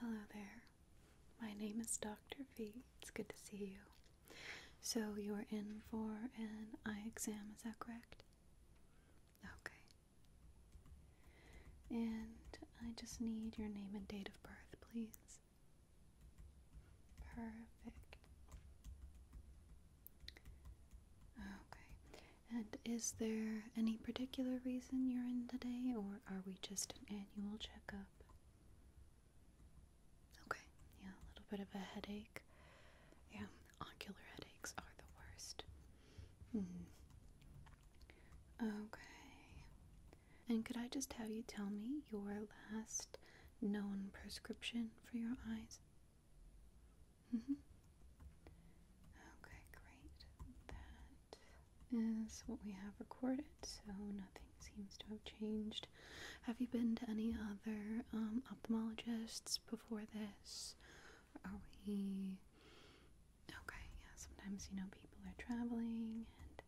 Hello there. My name is Dr. V. It's good to see you. So, you are in for an eye exam, is that correct? Okay. And I just need your name and date of birth, please. Perfect. Okay. And is there any particular reason you're in today, or are we just just an annual checkup. Okay, yeah, a little bit of a headache. Yeah, ocular headaches are the worst. Hmm. Okay. And could I just have you tell me your last known prescription for your eyes? hmm. Okay, great is what we have recorded, so nothing seems to have changed. Have you been to any other um, ophthalmologists before this? Are we okay? Yeah, sometimes you know people are traveling and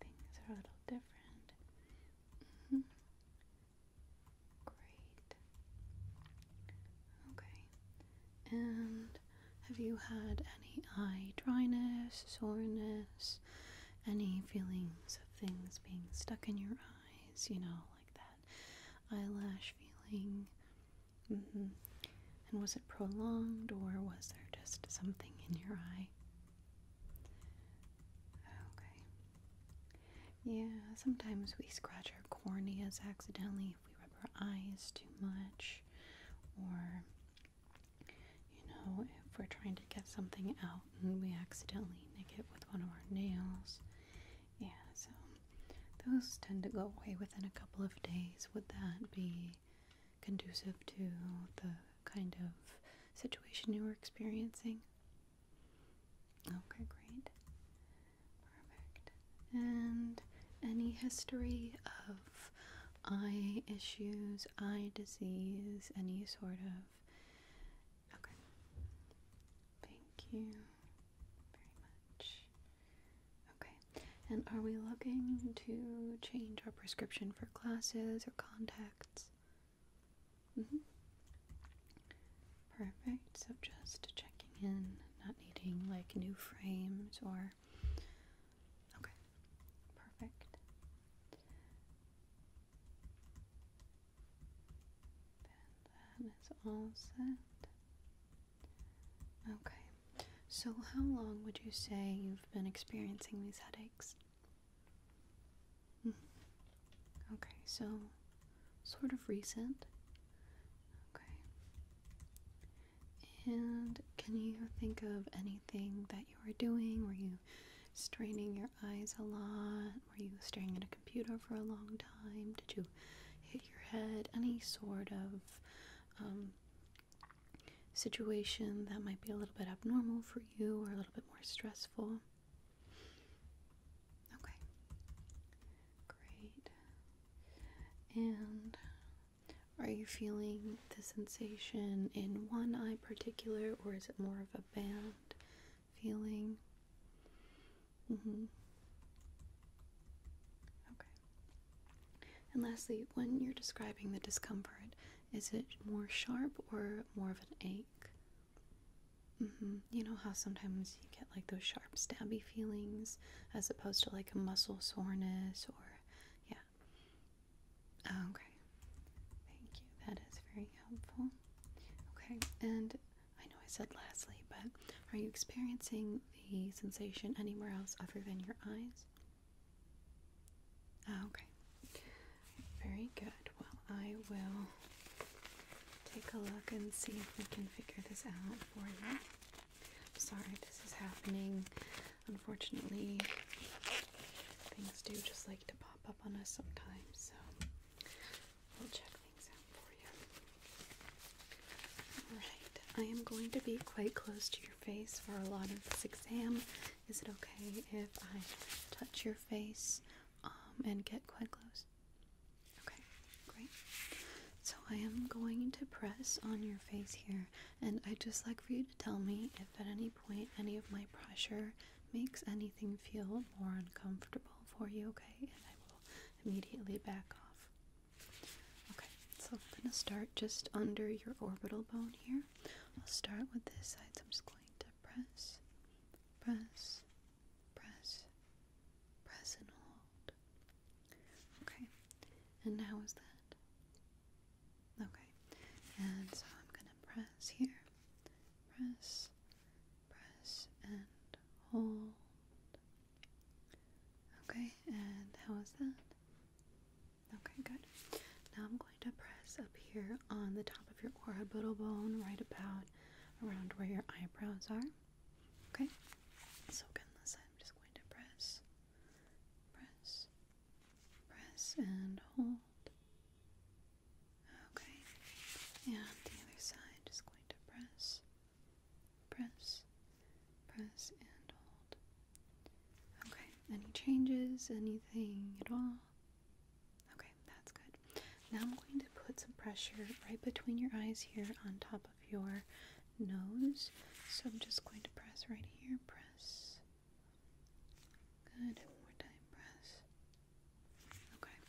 things are a little different. Mm-hmm. Great. Okay. And have you had any eye dryness, soreness, any feelings of things being stuck in your eyes? You know, like that eyelash feeling. Mm-hmm. And was it prolonged or was there just something in your eye? Okay. Yeah, sometimes we scratch our corneas accidentally if we rub our eyes too much, or you know, if we're trying to get something out and we accidentally nick it with one of our nails. Yeah, so those tend to go away within a couple of days. Would that be conducive to the kind of situation you were experiencing? Okay, great. Perfect. And any history of eye issues, eye disease, any sort of. Okay. Thank you very much. Okay. And are we looking to change our prescription for glasses or contacts? Mm-hmm. Perfect. So just checking in, not needing like new frames or Okay, perfect. that is all set. Okay, so how long would you say you've been experiencing these headaches? Hmm. Okay, so sort of recent. Okay. And can you think of anything that you were doing? Were you straining your eyes a lot? Were you staring at a computer for a long time? Did you hit your head? Any sort of um, situation that might be a little bit abnormal for you or a little bit more stressful? Okay, great. And are you feeling the sensation in one eye particular or is it more of a band feeling? Mm-hmm. Okay. And lastly, when you're describing the discomfort, is it more sharp or more of an ache? Mm-hmm. You know how sometimes you get like those sharp stabby feelings as opposed to like a muscle soreness or yeah. Okay. Thank you. That is very helpful. Okay. And I know I said lastly, but are you experiencing the sensation anywhere else other than your eyes? Ah, okay. Very good. Well, I will take a look and see if we can figure this out for you. I'm sorry this is happening. Unfortunately, things do just like to pop up on us sometimes, so we'll check things out for you. Alright, I am going to be quite close to your face for a lot of this exam. Is it okay if I touch your face um, and get quite close? Okay, great. So I am going to press on your face here, and I'd just like for you to tell me if at any point any of my pressure makes anything feel more uncomfortable for you, okay? And I will immediately back off. Okay, so I'm going to start just under your orbital bone here. I'll start with this side, so I'm just going to press, press, press, Press and hold. Okay, and how is that? Okay, and so I'm gonna press here. Press, press, and hold. Okay, and how is that? Okay, good. Now I'm going to press up here on the top of your orbital bone, right about around where your eyebrows are. Okay, so again, I'm just going to press, press, press, and hold. Okay, and the other side, just going to press, press, press, and hold. Okay, any changes, anything at all? Okay, that's good. Now I'm going to put some pressure right between your eyes here on top of your nose. So I'm just going to press right here. Press. Good. One more time. Press. Okay.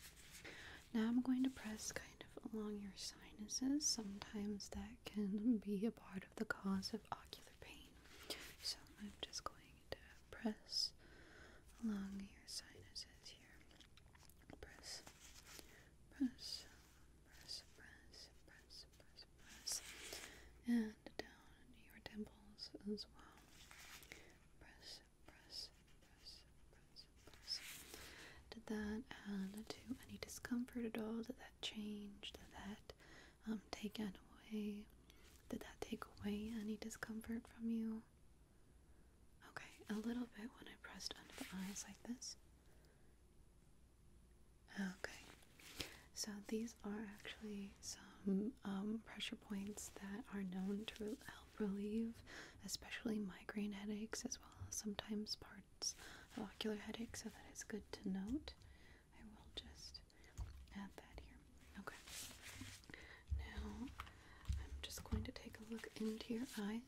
Now I'm going to press kind of along your sinuses. Sometimes that can be a part of the cause of ocular pain. So I'm just going to press along your sinuses here. Press. Press. Press, press, press, press, press, And down your temples as well. Press, press, press, press, press. Did that add to any discomfort at all? Did that change? Did that um, take away? Did that take away any discomfort from you? Okay, a little bit when I pressed under the eyes like this. Okay, so these are actually some um, pressure points that are known to help relieve, especially migraine headaches, as well as sometimes parts of ocular headaches. So that is good to note. I will just add that here. Okay, now I'm just going to take a look into your eyes.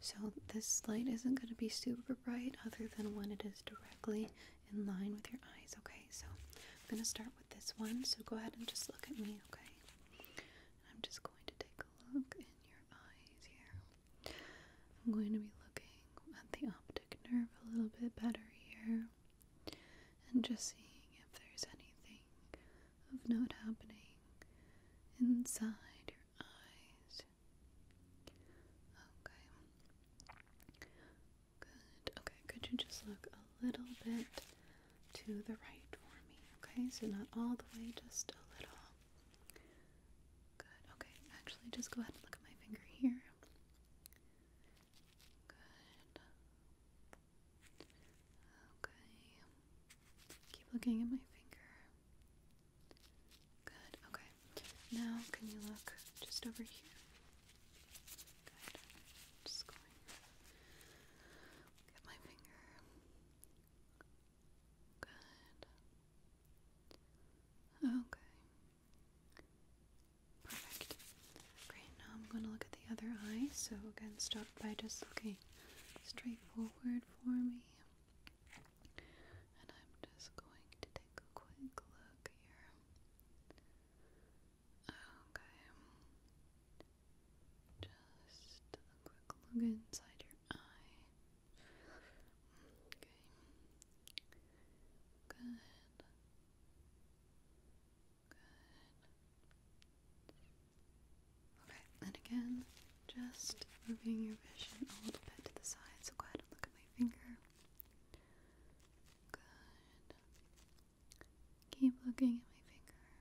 So this light isn't going to be super bright other than when it is directly in line with your eyes, okay? So I'm going to start with this one. So go ahead and just look at me, okay? I'm just going to take a look in your eyes here. I'm going to be looking at the optic nerve a little bit better here and just seeing if there's anything of note happening inside your eyes. Okay. Good. Okay, could you just look a little bit to the right for me? Okay, so not all the way, just a little. Good. Okay, actually, just go ahead and look at my finger here. Good. Okay. Keep looking at my finger. Good, okay. Now, can you look just over here? Good. Just going. Get my finger. Good. Okay. Perfect. Great, now I'm going to look at the other eye. So, again, stop by just looking straight forward for me. And I'm just going to take a quick look here. Okay. Just a quick look inside your eye. Okay. Good. Good. Okay, and again, just moving your vision a little bit to the side, so go ahead and look at my finger. Good. Keep looking at my finger.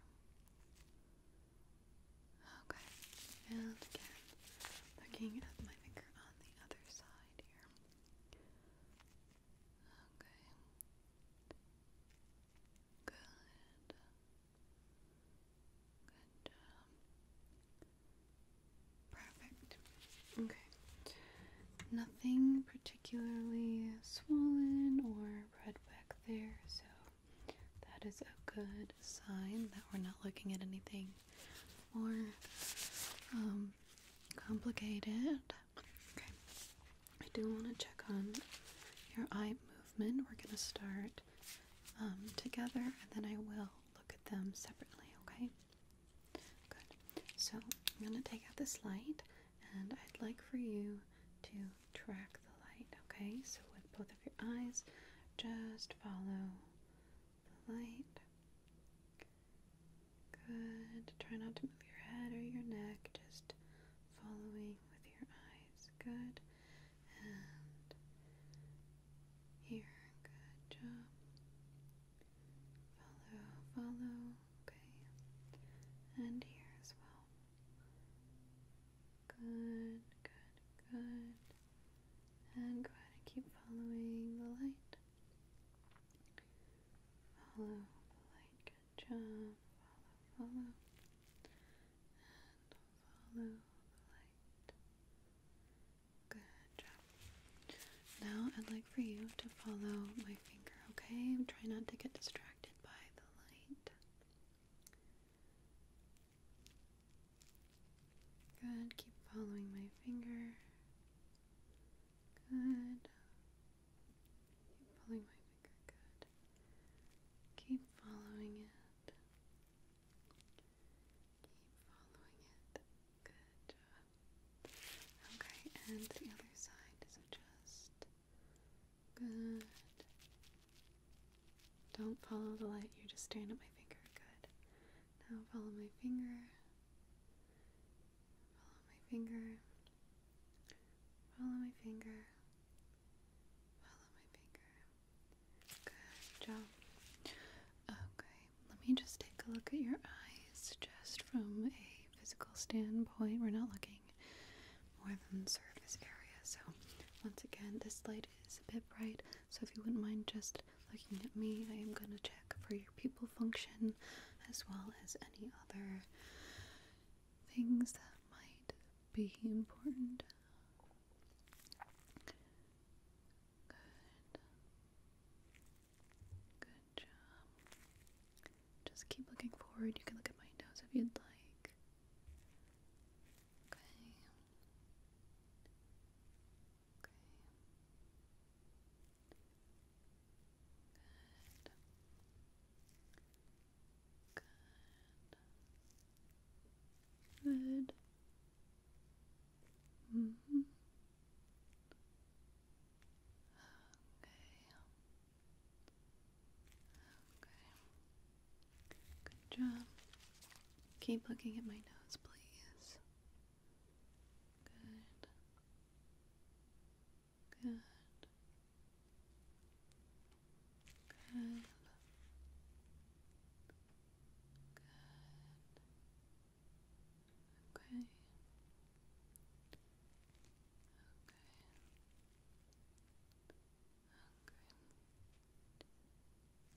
Okay, and again, looking at my finger on the other side here. Okay. Good. Good job. Perfect. Okay. Nothing particularly swollen or red back there, so that is a good sign that we're not looking at anything more um, complicated. Okay. I do want to check on your eye movement. We're going to start um, together and then I will look at them separately, okay? Good. So I'm going to take out this light and I'd like for you to track the light, okay? So with both of your eyes, just follow the light. Good. Try not to move your head or your neck, just following with your eyes. Good and here. Good job. Follow, follow. Okay. And here as well. Good, good, good. And go keep following the light. Follow the light. Good job. Follow, follow. Follow Now I'd like for you to follow my finger, okay? Try not to get distracted by the light. Good. Keep following my finger. Good. Keep following my finger. Good. Keep following it. Keep following it. Good job. Okay, and the other side is just good. Don't follow the light, you just stand at my finger. Good. Now follow my finger. Follow my finger. Follow my finger. Follow my finger. Good job. Okay, let me just take a look at your eyes just from a physical standpoint. We're not looking more than surface area, so once again, this light is a bit bright, so if you wouldn't mind just looking at me, I am going to check for your pupil function as well as any other things that might be important. Good. Good job. Just keep looking forward. You can look at my nose if you'd like. Okay. Okay. Good. Good. Good. Mm-hmm. Okay. Okay. Good job. Keep looking at my nose, please. Good. Good. Good. Good. Okay. Okay.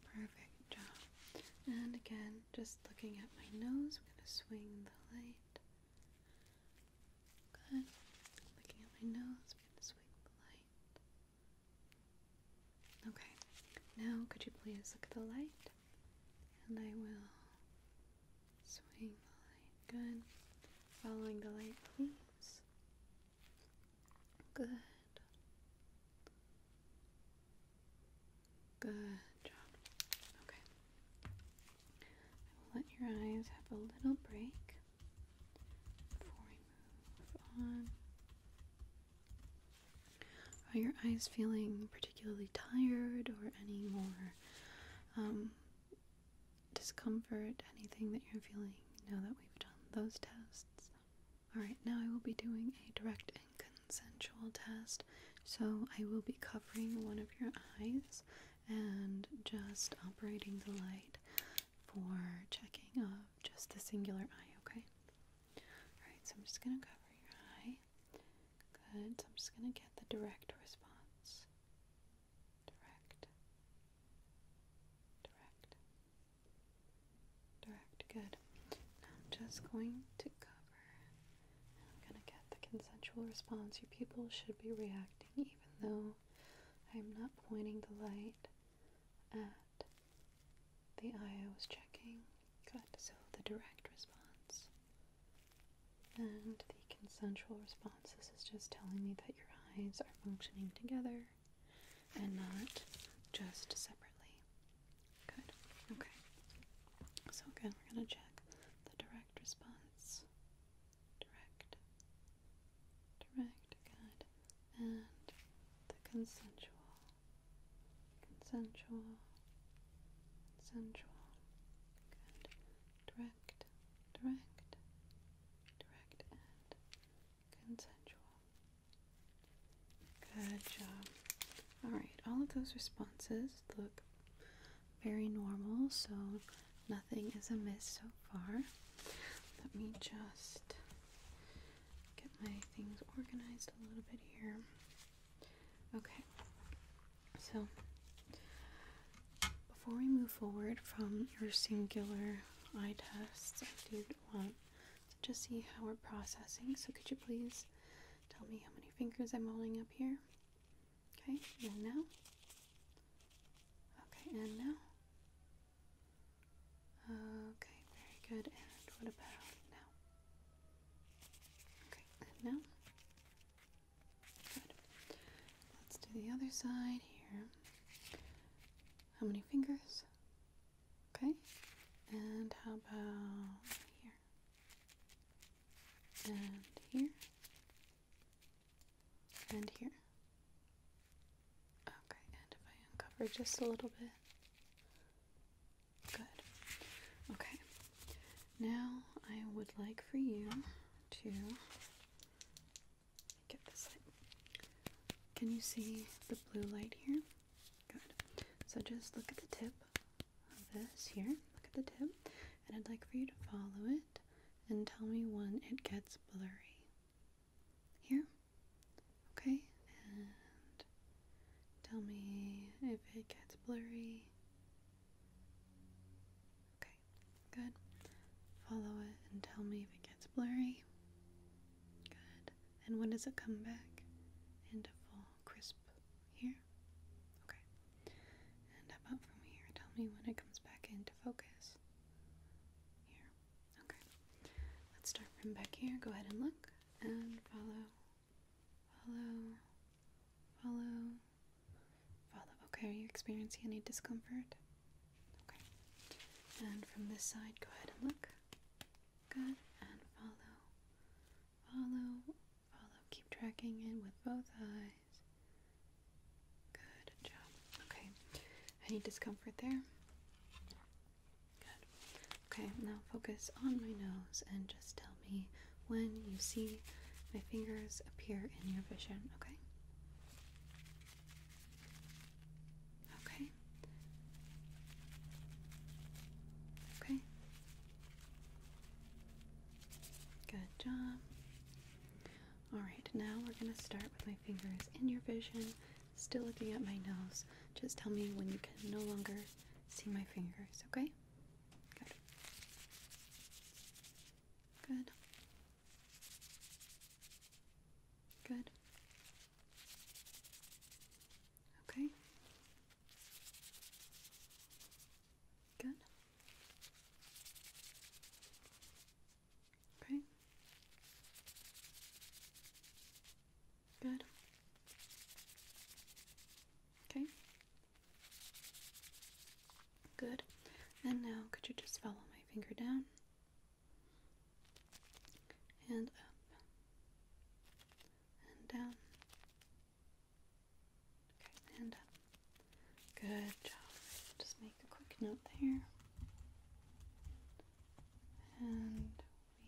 Okay. Perfect job. And again, just looking at my nose, we're going to swing the light. Good. Looking at my nose, we're going to swing the light. Okay, now could you please look at the light? And I will swing the light. Good. Following the light, please. Good. Good job. Okay. I will let your eyes have a little break are your eyes feeling particularly tired or any more um, discomfort? Anything that you're feeling now that we've done those tests? Alright, now I will be doing a direct and consensual test. So I will be covering one of your eyes and just operating the light for checking of just the singular eye, okay? Alright, so I'm just going to cover your eye. Good. So I'm just going to get the direct response. Direct. Direct. Direct. Good. Now I'm just going to cover. I'm going to get the consensual response. Your pupils should be reacting even though I'm not pointing the light at the eye I was checking. Good. So the direct response and the consensual response. This is just telling me that your eyes are functioning together and not just separately. Good. Okay. So again, we're going to check the direct response direct, direct, good, and the consensual, consensual, consensual, good, direct, direct, direct, and consensual. Good job. Alright, all of those responses look very normal, so nothing is amiss so far. Let me just get my things organized a little bit here. Okay, so before we move forward from your singular eye tests, I do want to just see how we're processing. So, could you please tell me how many fingers I'm holding up here? Okay, now Okay, and now? Okay, very good. And what about now? Okay, and now? Let's do the other side here. How many fingers? Okay. And how about here? And here? And here. Okay, and if I uncover just a little bit. Good. Okay. Now I would like for you to get this Can you see the blue light here? Good. So just look at the tip of this here. Look at the tip. And I'd like for you to follow it and tell me when it gets blurry. Here? Okay, and tell me if it gets blurry. Okay, good. Follow it and tell me if it gets blurry. Good. And when does it come back? Into full crisp here? Okay. And about from here? Tell me when it comes back into focus. Here. Okay. Let's start from back here. Go ahead and look and follow. Follow. Follow. Follow. Okay, are you experiencing any discomfort? Okay. And from this side, go ahead and look. Good. And follow. Follow. Follow. Keep tracking it with both eyes. Good job. Okay. Any discomfort there? Good. Okay, now focus on my nose and just tell me when you see my fingers appear in your vision, okay? Okay. Okay. Good job. Alright, now we're going to start with my fingers in your vision, still looking at my nose. Just tell me when you can no longer see my fingers, okay? Good. Good. Good. Okay. Good. Okay. Good. Okay. Good. And now, could you just follow my finger down and up and down uh, good job. Just make a quick note there. And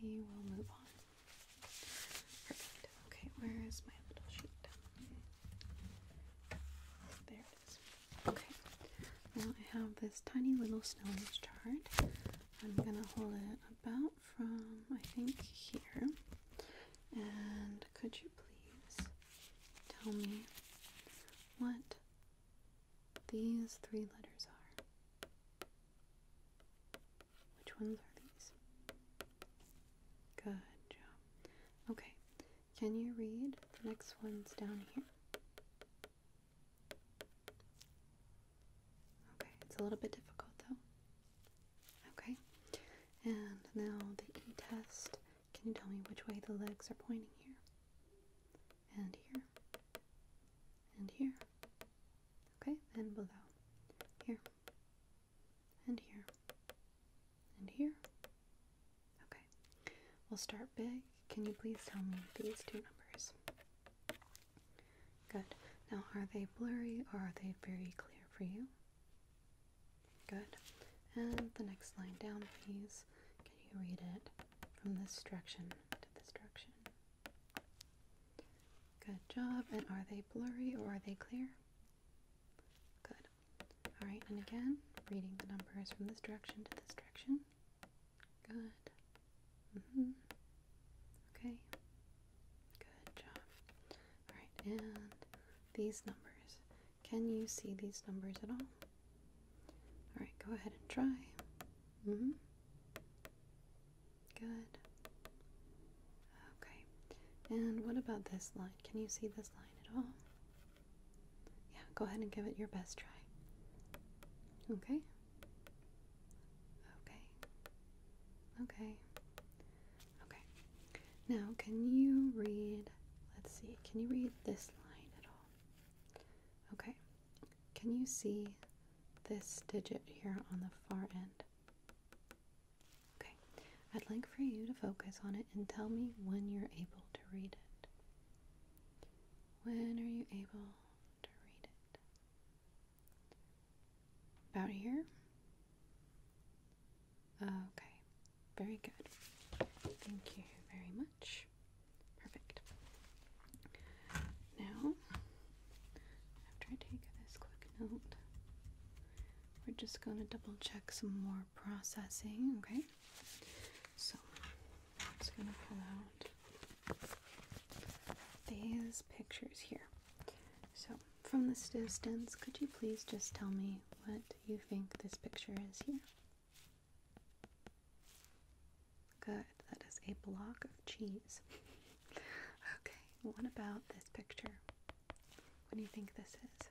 we will move on. Perfect. Okay, where is my little sheet? There it is. Okay. Now I have this tiny little Stonehenge chart. I'm gonna hold it about from I think here. And could you please tell me what these three letters are? Which ones are these? Good job. Okay, can you read the next ones down here? Okay, it's a little bit difficult though. Okay, and now the E test can you tell me which way the legs are pointing here? And here. And here. Okay, and below. Here. And here. And here. Okay. We'll start big. Can you please tell me these two numbers? Good. Now, are they blurry or are they very clear for you? Good. And the next line down, please. Can you read it from this direction to this direction? Good job. And are they blurry or are they clear? Good. All right, and again, reading the numbers from this direction to this direction. Good. Mm-hmm. Okay. Good job. Alright, and these numbers. Can you see these numbers at all? Alright, go ahead and try. hmm Good. Okay. And what about this line? Can you see this line at all? Yeah, go ahead and give it your best try. Okay. Okay. Okay. Okay. Now, can you read, let's see, can you read this line at all? Okay. Can you see this digit here on the far end? Okay. I'd like for you to focus on it and tell me when you're able to read it. When are you able to read it? About here? Okay, very good. Thank you very much. Perfect. Now, after I take this quick note, we're just going to double check some more processing, okay? So, I'm just going to pull out these pictures here. So, from this distance, could you please just tell me what you think this picture is here? Good, that is a block of cheese. okay, what about this picture? What do you think this is?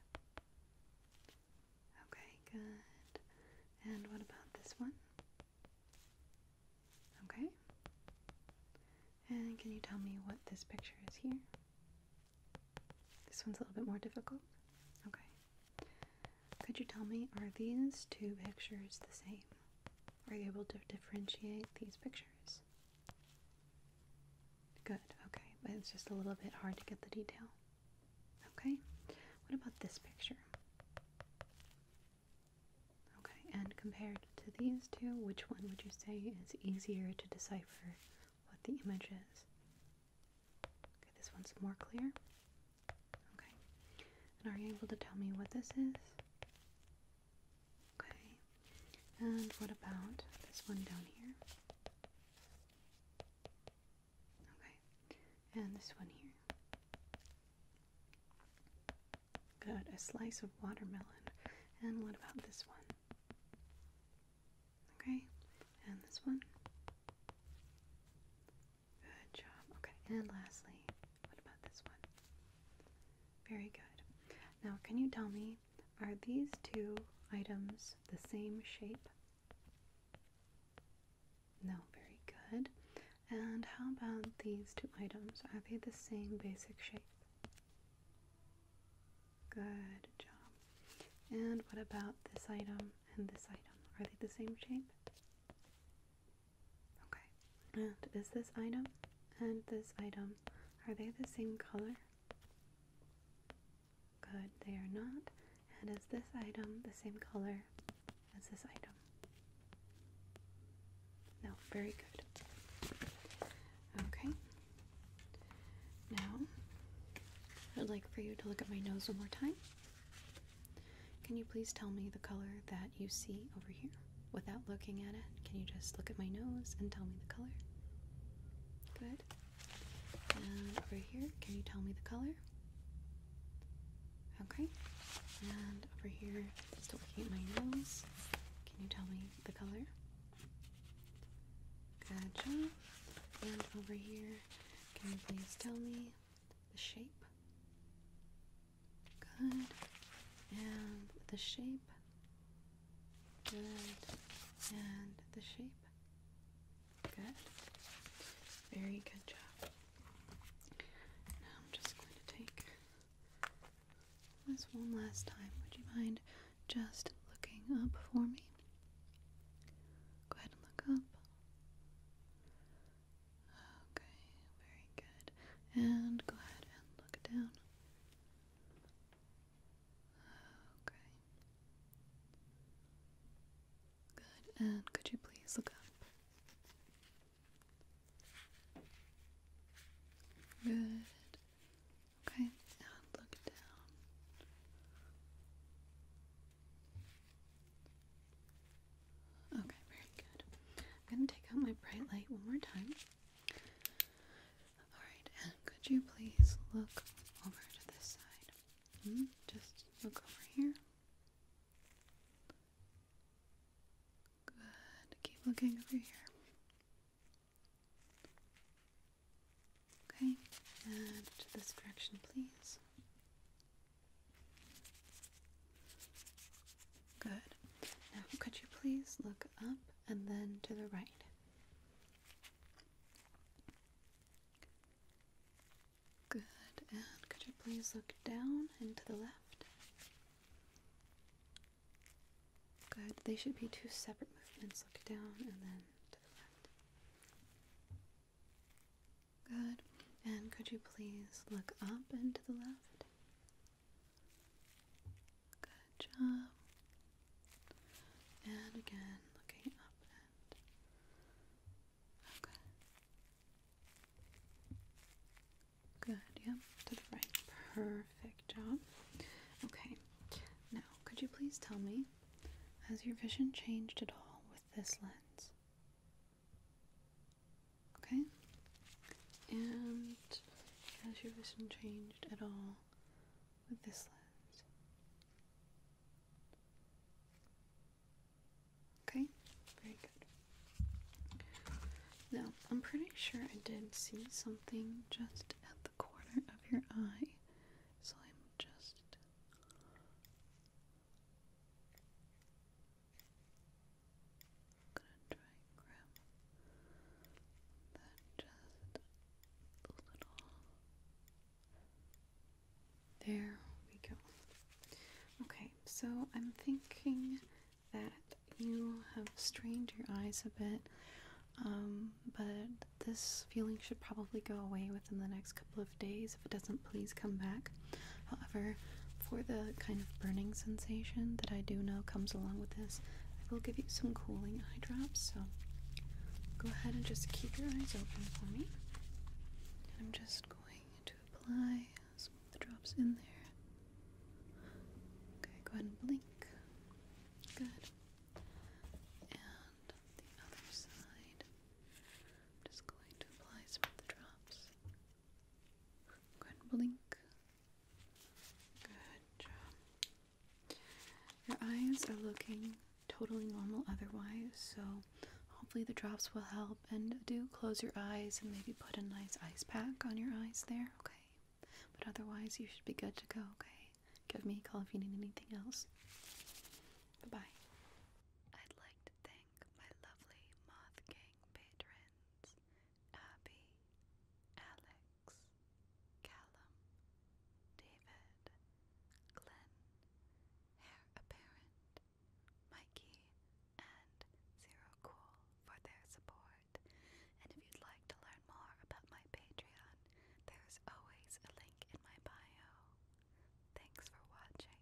Okay, good. And what about this one? Okay. And can you tell me what this picture is here? This one's a little bit more difficult. Okay. Could you tell me, are these two pictures the same? Are you able to differentiate these pictures? Good, okay. But it's just a little bit hard to get the detail. Okay. What about this picture? Okay, and compared to these two, which one would you say is easier to decipher what the image is. Okay, this one's more clear. Okay. And are you able to tell me what this is? Okay. And what about this one down here? Okay. And this one here. Got A slice of watermelon. And what about this one? Okay, and this one. Good job. Okay, and lastly, what about this one? Very good. Now, can you tell me, are these two items the same shape? No, very good. And how about these two items? Are they the same basic shape? Good job. And what about this item and this item? Are they the same shape? Okay. And is this item and this item, are they the same color? Good, they are not. And is this item the same color as this item? No, very good. Okay, now, I'd like for you to look at my nose one more time. Can you please tell me the color that you see over here? Without looking at it, can you just look at my nose and tell me the color? Good. And over here, can you tell me the color? Okay. And over here, still looking at my nose, can you tell me the color? Gotcha. And over here, can you please tell me the shape? Good. And the shape? Good. And the shape? Good. Very good job. Now I'm just going to take this one last time. Would you mind just looking up for me. Go ahead and look up. Okay, very good. And go ahead and look down. Okay. Good. And could you please look up? Good. Okay, look down. Okay, very good. I'm going to take out my bright light one more time. Alright, could you please look over to this side? Hmm, just look over here. Good. Keep looking over here. Okay, to this direction, please. Good. Now, could you please look up and then to the right? Good. And could you please look down and to the left? Good. They should be two separate movements. Look down and then to the left. Good. And could you please look up and to the left? Good job. And again, looking up and. Okay. Good. Yep. To the right. Perfect. Perfect job. Okay, now could you please tell me, has your vision changed at all with this lens? Okay, and has your vision changed at all with this lens? Okay, very good. Now, I'm pretty sure I did see something just at the corner of your eye. So I'm just gonna try that just a little. There we go. Okay, so I'm thinking that you have strained your eyes a bit, um, but this feeling should probably go away within the next couple of days. If it doesn't, please come back. However, for the kind of burning sensation that I do know comes along with this, I will give you some cooling eye drops. So go ahead and just keep your eyes open for me. And I'm just going to apply the drops in there. Okay, go ahead and blink. Good. And the other side. I'm just going to apply some of the drops. Go blink. Good job. Your eyes are looking totally normal otherwise, so hopefully the drops will help. And do close your eyes and maybe put a nice ice pack on your eyes there, okay? But otherwise, you should be good to go, okay? Give me a call if you need anything else. Bye bye. I'd like to thank my lovely Moth Gang patrons Abby, Alex, Callum, David, Glenn, Hair Apparent, Mikey, and Zero Cool for their support. And if you'd like to learn more about my Patreon, there's always a link in my bio. Thanks for watching.